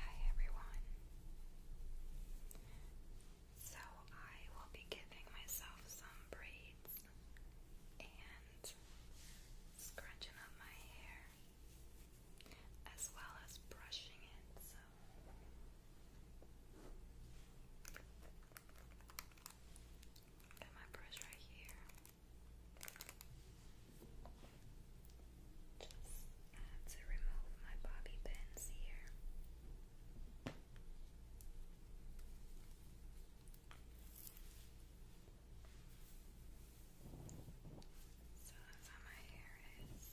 Hi everyone. So I will be giving myself some braids and scrunching up my hair as well as brushing it. So Got my brush right here. Just to remove my bobby pins here. So that's how my hair is.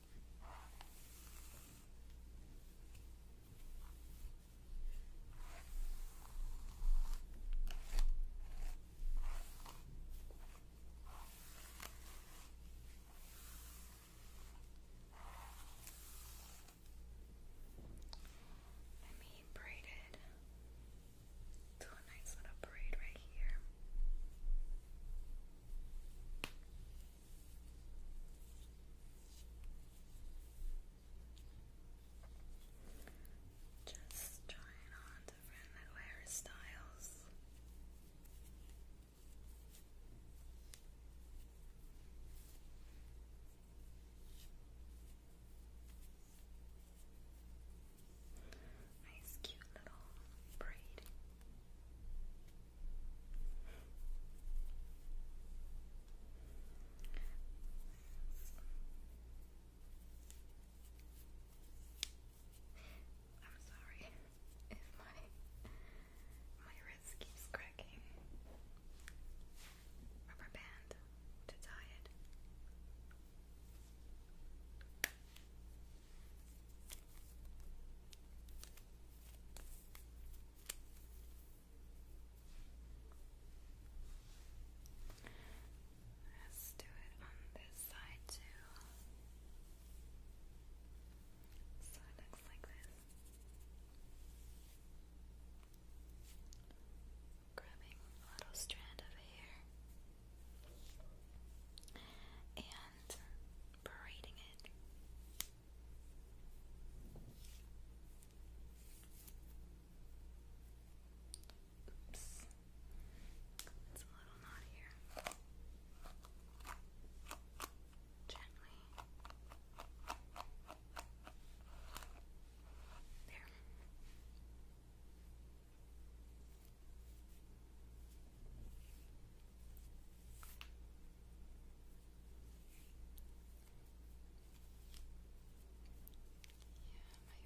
Let me braid it to a nice little braid right here. Just trying on different hairstyles. Nice, cute little braid. I'm sorry if my my wrist keeps cracking. Rubber band to tie it. Let's do it on this side too. So it looks like this. Grabbing a little strand of hair and and braiding it. Oops. It's a little knot here. Gently. There. Yeah,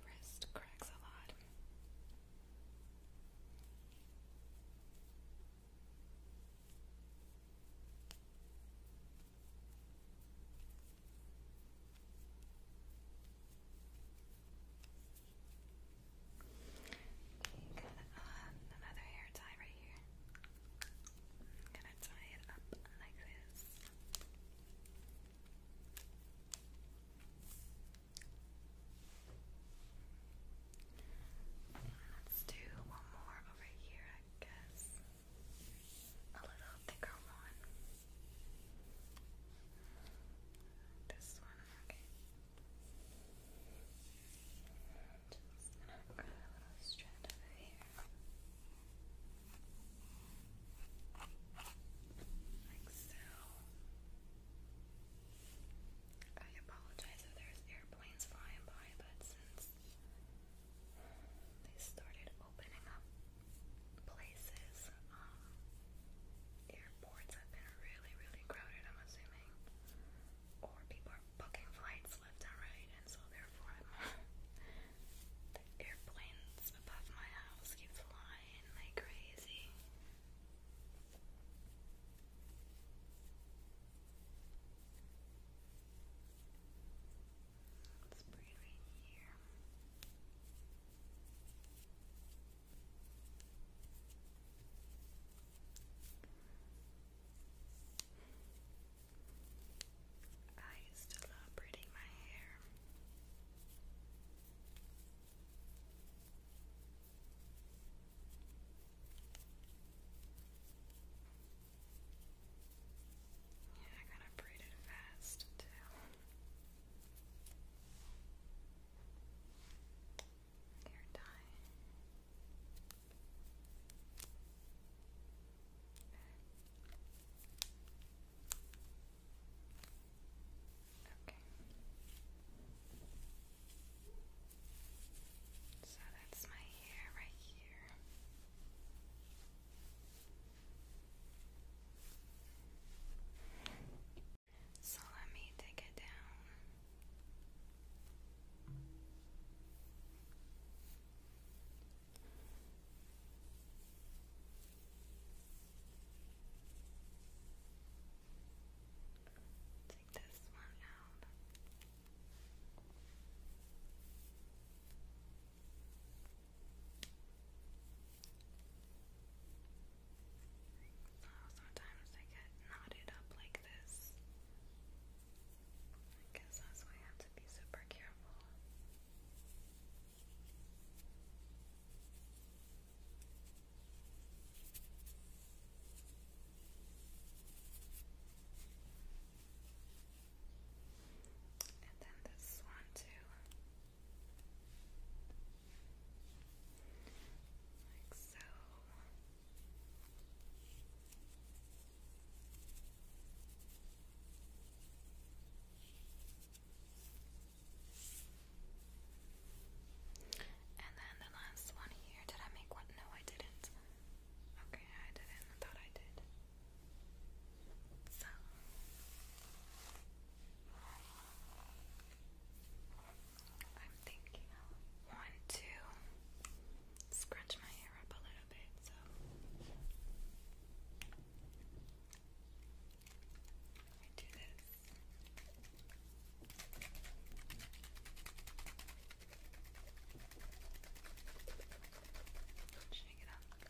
my wrist cracks a lot. Got um, another hair tie right here. I'm gonna tie it up like this. Let's do one more over here, I guess. A little thicker one. This one, okay. Just gonna grab a little strand over here. Like so. I apologize if there's airplanes flying by, but since they started opening up places, um, airports have been really, really crowded, I'm assuming traveling, or people are booking flights left and right, and so therefore the airplanes above my house keep flying like crazy. Let's here. I used to love braiding my hair. Yeah, I kind of braided fast too hair tie. So that's my hair right here. So let me take it down. Take this one out. Oh, sometimes they get knotted up like this. I guess that's why you have to be super careful. And then this one too. Like so. And then the last one here. Did I make one? No, I didn't. Okay, I didn't. thought I did. So. I'm thinking I want scrunch my hair up a little bit, so I do this. Shake it up.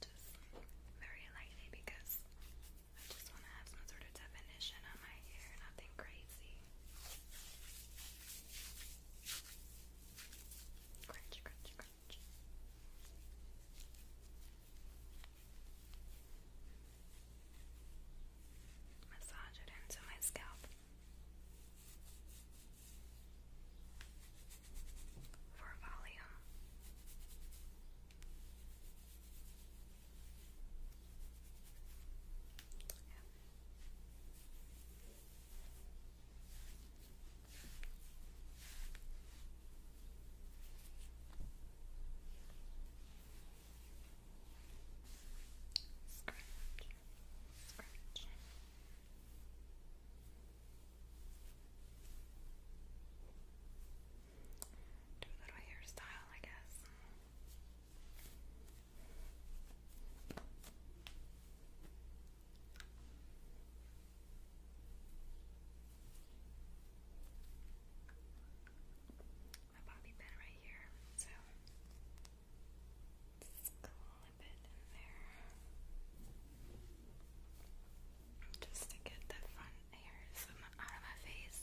Just very lightly because I just want to have some sort of definition on my hair, nothing crazy. Crunch, crunch, crunch. Massage it into my scalp for volume. Scratch. Scratch. Do a little hairstyle, I guess my bobby pin right here. So just clip it in there. Just to get the fun hairs out of my face.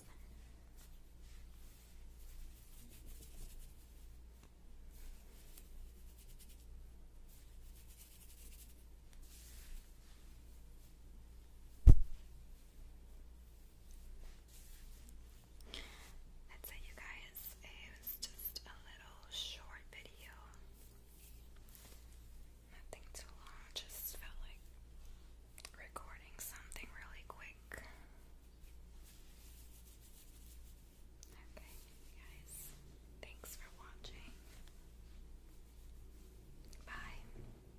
That's it, you guys. It was just a little short video. Nothing too long, just felt like recording something really quick. Okay, guys, thanks for watching. Bye.